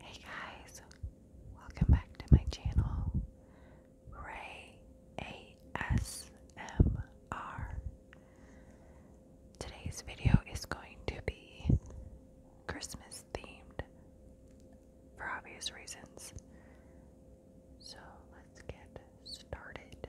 Hey guys, welcome back to my channel, Ray ASMR. Today's video is going to be Christmas themed for obvious reasons. So let's get started.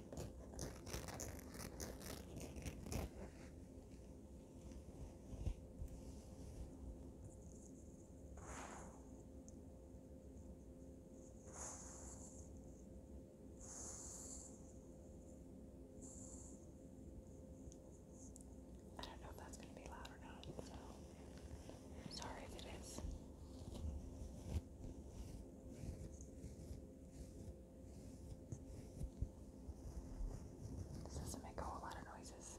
I don't know if that's going to be loud or not, so sorry if it is. This doesn't make a whole lot of noises.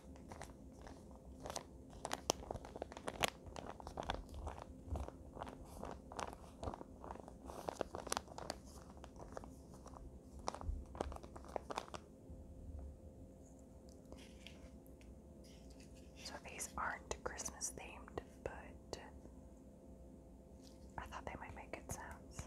So these aren't Christmas themed, but I thought they might make good sounds.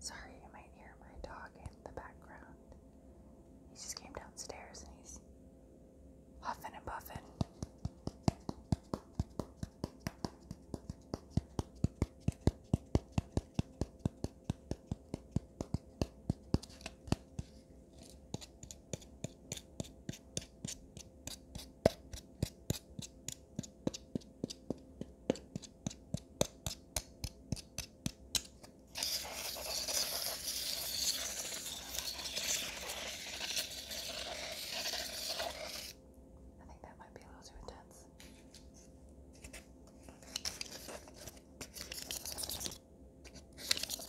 Sorry, you might hear my dog in the background. He just came downstairs and he's huffing and puffing. I think that might be a little too intense.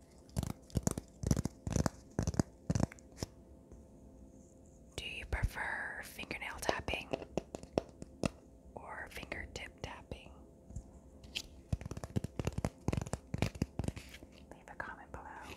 Do you prefer fingernail tapping or fingertip tapping? Leave a comment below.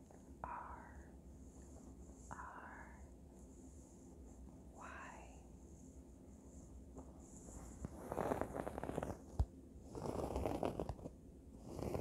R R Y. Thank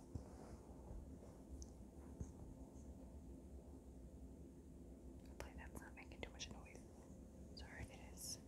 Hopefully that's not making too much noise. Sorry, it is. I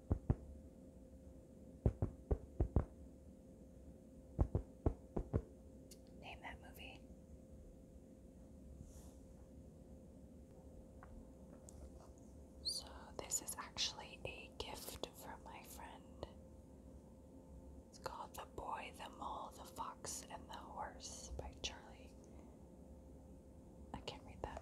Name that movie. So, this is actually a gift from my friend. It's called The Boy, the Mole, the Fox, and the Horse by Charlie. I can't read that.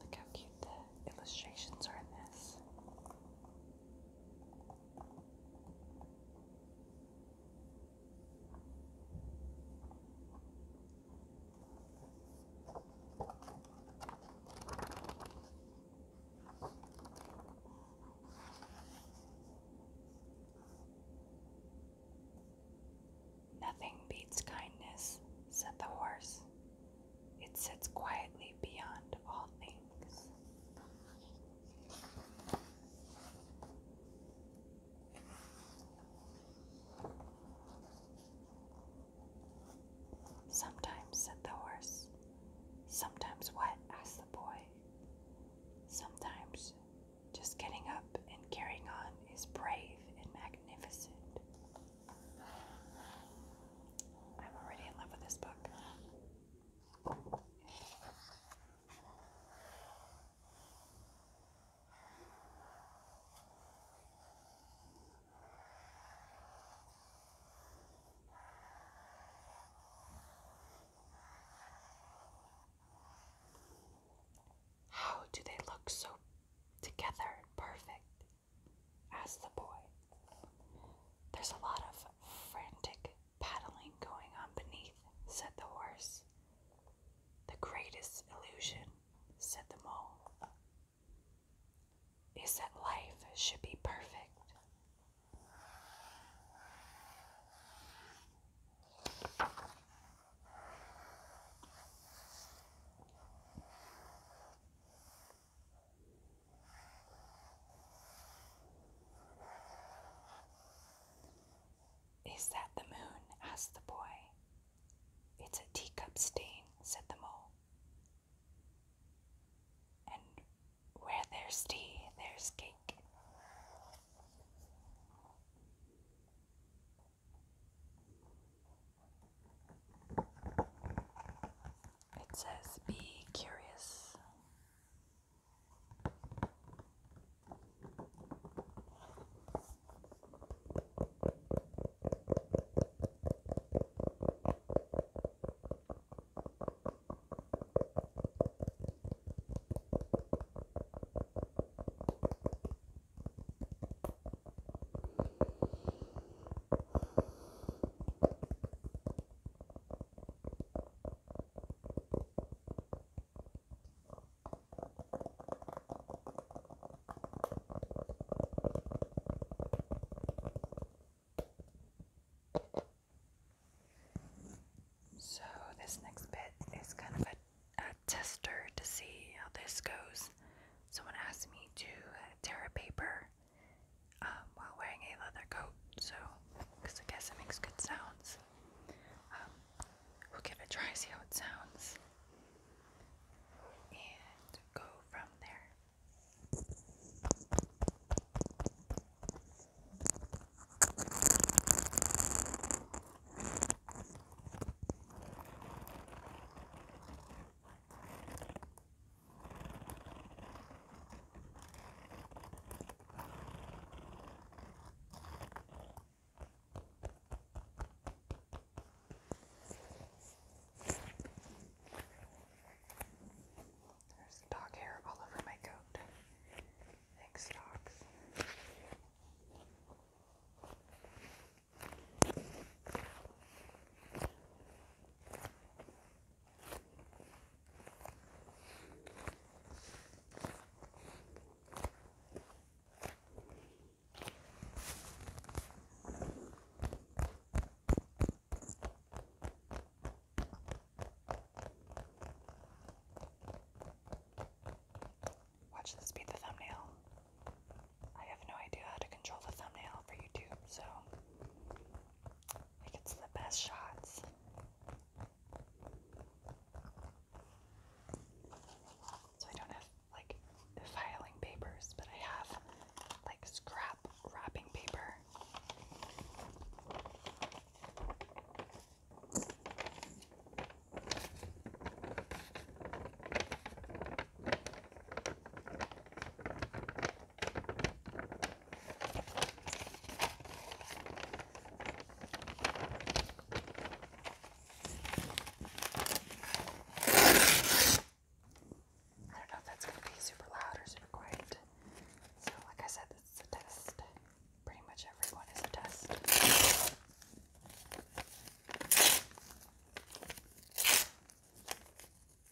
Look how cute the illustrations are in this. Nothing beats kindness, said the horse. It sits quietly beyond all things. Sometimes, said the horse. Sometimes what? asked the boy. Sometimes just getting up and carrying on is brave and magnificent. I'm already in love with this book. How do they look so together perfect? asked the boy. There's a lot of frantic paddling going on beneath, said the horse. The greatest illusion, said the mole, is that life should be perfect. Is that the moon? asked the boy. It's a teacup stain, said the mole. And where there's tea, there's cake. It says, Be curious. So, this next bit is kind of a, tester to see how this goes. Someone asked me to tear a paper um, while wearing a leather coat, so because I guess it makes good sounds. Um, we'll give it a try, see how it sounds, and go from there. There's dog hair all over my coat. Thanks, dogs. Watch this be the thumbnail. I have no idea how to control the thumbnail for YouTube, so it gets the best shots. So I don't have like filing papers, but I have like scrap wrapping paper. I don't know if that's going to be super loud or super quiet. So, like I said, this is a test. Pretty much everyone is a test.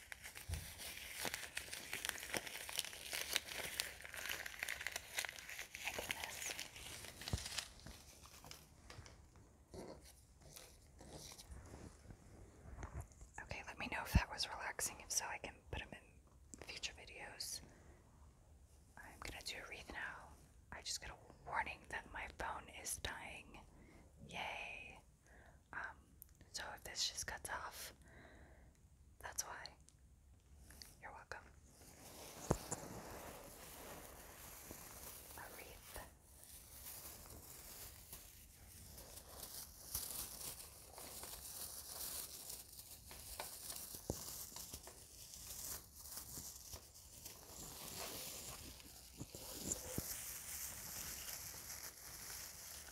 I Okay, let me know if that was relaxing. If so, I can put them in future videos. I'm gonna do a wreath now. I just got a warning that my phone is dying. Yay! Um, so if this just cuts off, that's why. You're welcome.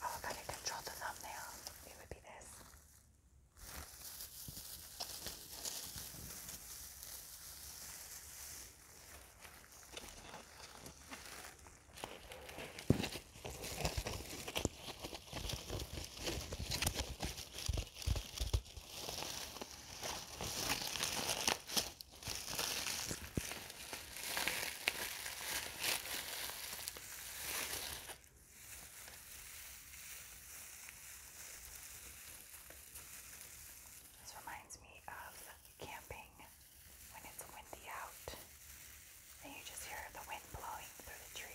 Oh, if I could control the thumbnail, it would be this. This reminds me of camping when it's windy out and you just hear the wind blowing through the trees.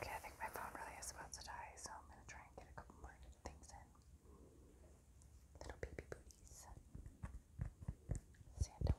Okay, I think my phone really is about to die, so I'm gonna try and get a couple more things in. Little baby boo Santa sandalwood.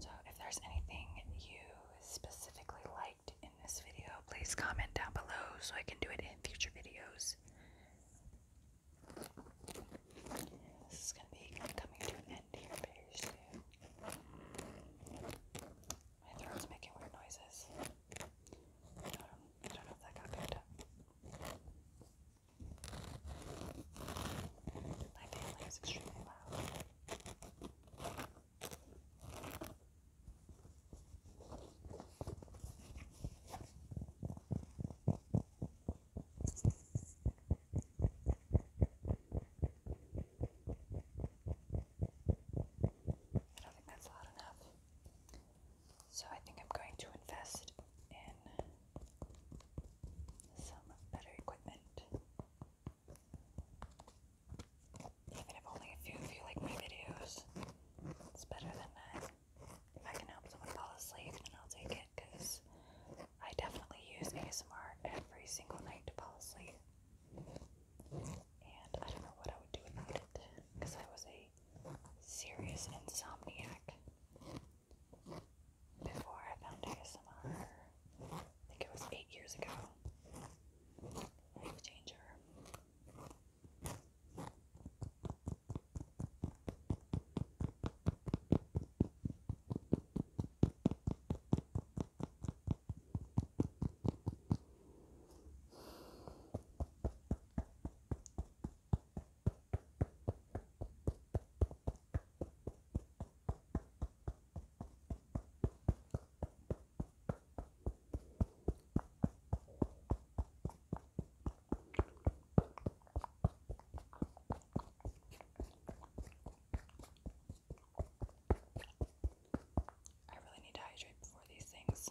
So if there's anything you specifically liked in this video, please comment down below so I can do it in future videos. This is going to be coming to an end here very soon. My throat's making weird noises. I don't, know if that got picked up. My family is extremely loud. I don't think that's loud enough. So I think I'm going to invest in some better equipment. Even if only a few of you like my videos, it's better than none. If I can help someone fall asleep, then I'll take it because I definitely use ASMR every single night to fall asleep. And I don't know what I would do without it because I was a serious insomniac before I found ASMR. I think it was eight years ago. Life changer. I really need to hydrate before these things.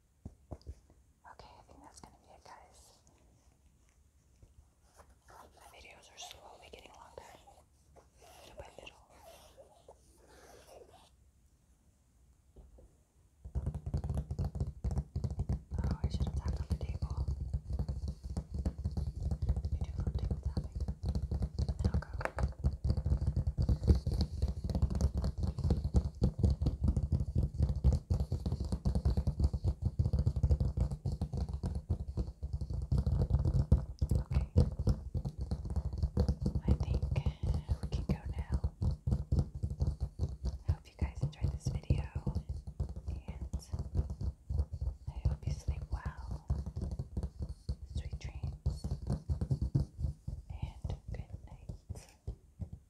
Okay, I think that's gonna be it, guys. My videos are slowly getting longer, little by little. Oh, I should have on the table. I do love table tapping. And I'll go. Okay. I think uh, we can go now. I hope you guys enjoyed this video and I hope you sleep well. Sweet dreams and good night.